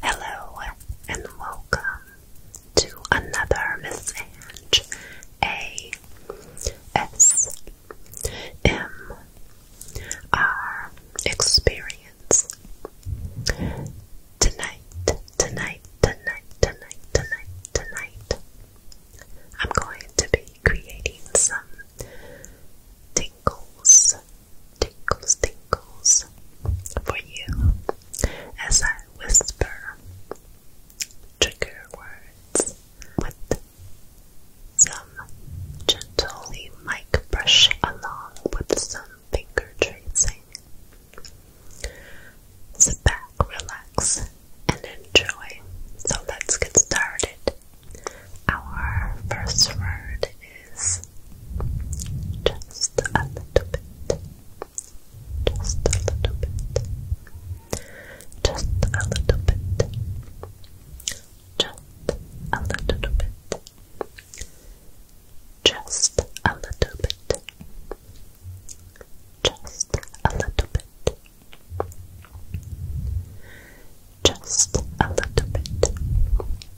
Hello and welcome to another Miss Ange A S M R experience. Tonight, tonight, tonight, tonight, tonight, tonight, I'm going to be creating some tingles tinkles, tinkles for you as I whisper trigger words with some gently mic brush along with some finger tracing. Sit back, relax, and enjoy. So let's get started. Our first word is just a little bit. Just a little bit. Just a little bit. Just a little bit. Just a little bit. Just a little bit. Just a little bit.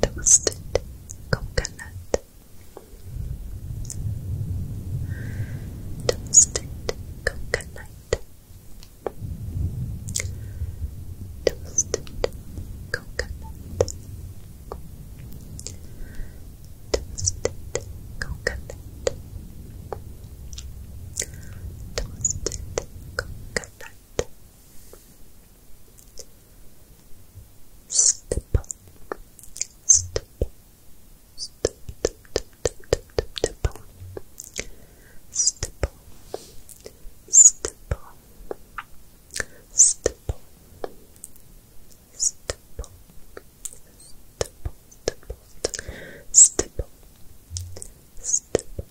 toasted coconut, toasted coconut, toasted coconut, toasted coconut, toasted coconut. coconut, Step, step, step, step, step, step, step, Stipple, stipple, stipple, stipple, stipple,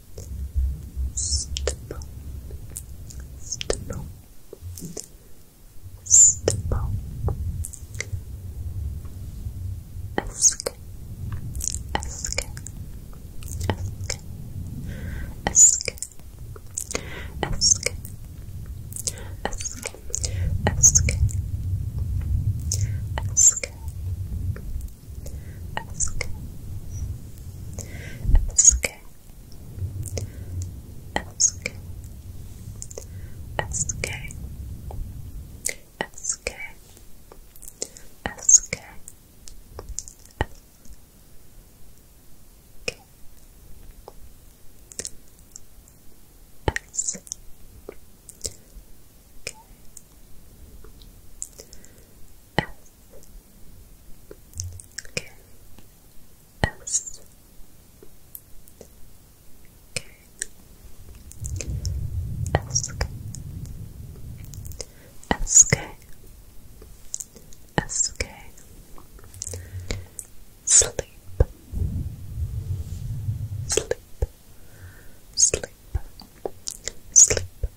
stipple, stipple, stipple, ask, ask, ask, ask, ask, ask, ask, ask, ask, ask, Ask. Ask. Ask. Ask. Ask. S K S K S K S K S K S K Sleep Sleep Sleep Sleep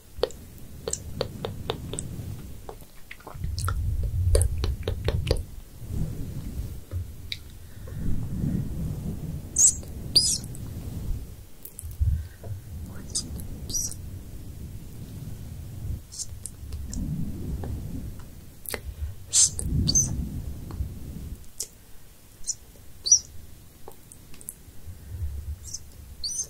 Snips. More snips. Snips. Snips. Snips.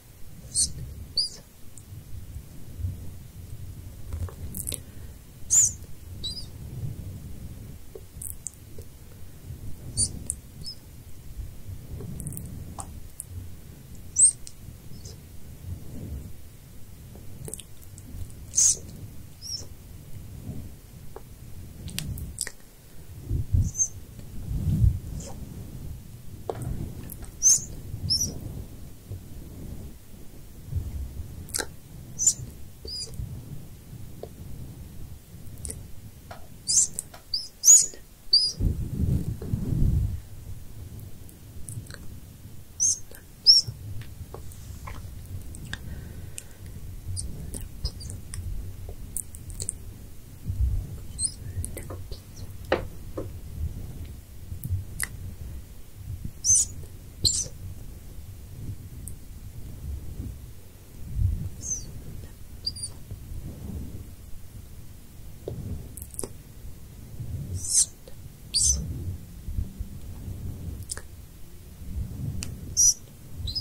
Snips. Snips. Snips. Snips. Snips. Snips. Snips. Snips. Snips. Snips. Snips. Snips. Snips. Snips. Snips. Snaps. Snaps. Snaps. Snaps. Snaps.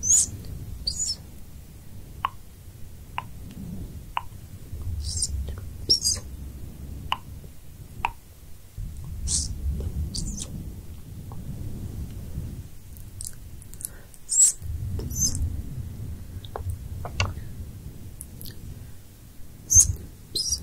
Snips. Snips. Snips. Snips. Snips. Snips.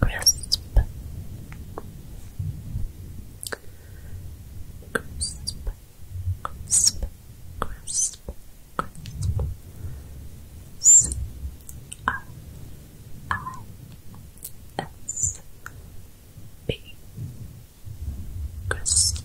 Crisp. Crisp. Crisp. Crisp. Crisp. S R I S B. Crisp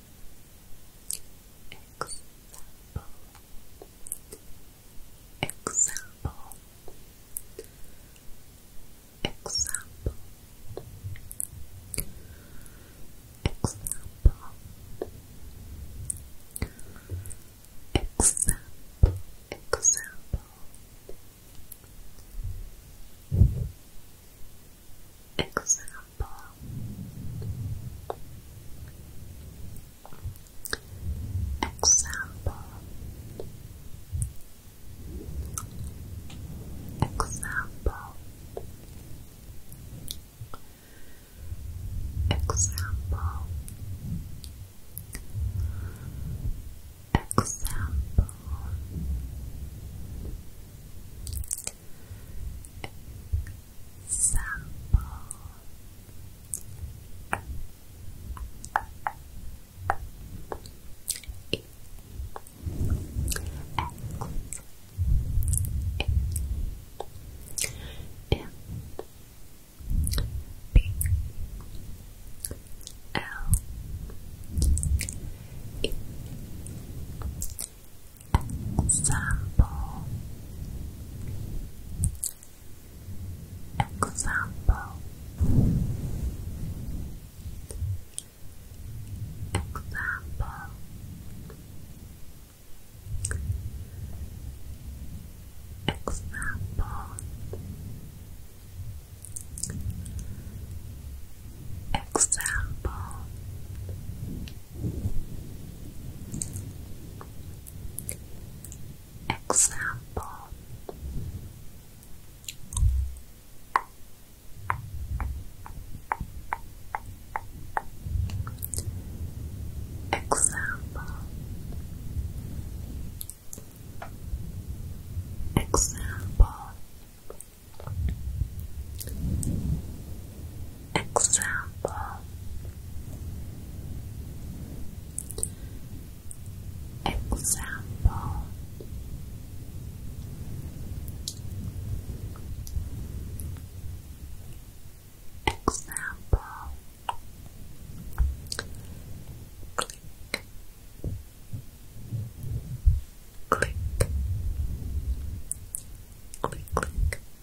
Example. Example. Example. Example. Example. Example. Example Example Example Example Example Example e X Example Example Example Example Example Example Example Example Example Example Example Click Click Click click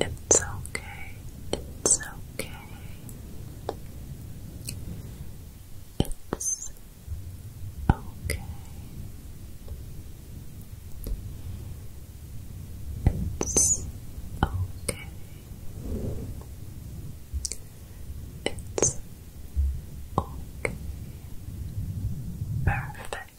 It's okay. It's okay. It's okay. It's okay. It's okay. Perfect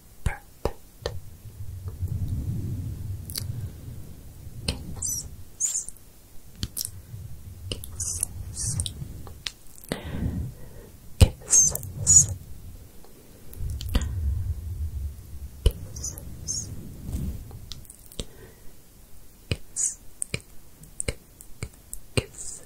Perfect. Kisses. Kisses. Kisses. Kisses. Kiss, kisses, kisses,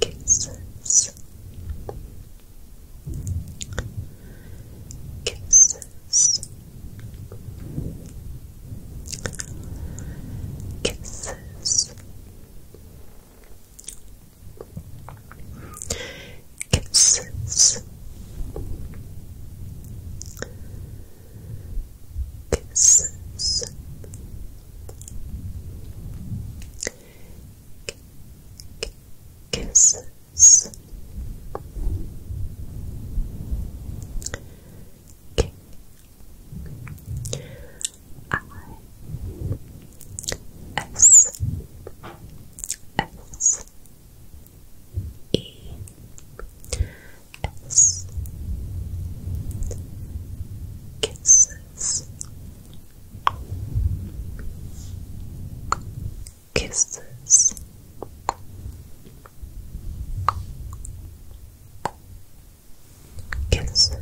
Kisses. Kisses. Kisses. Kisses. Kisses kisses K I S S E kisses, kisses, kisses. Kisses,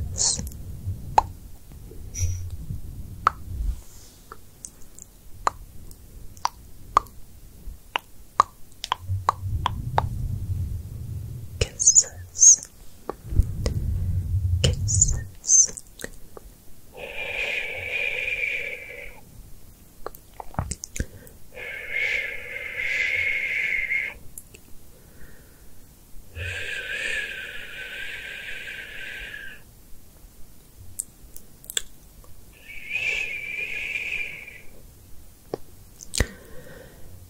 kisses, Kisses.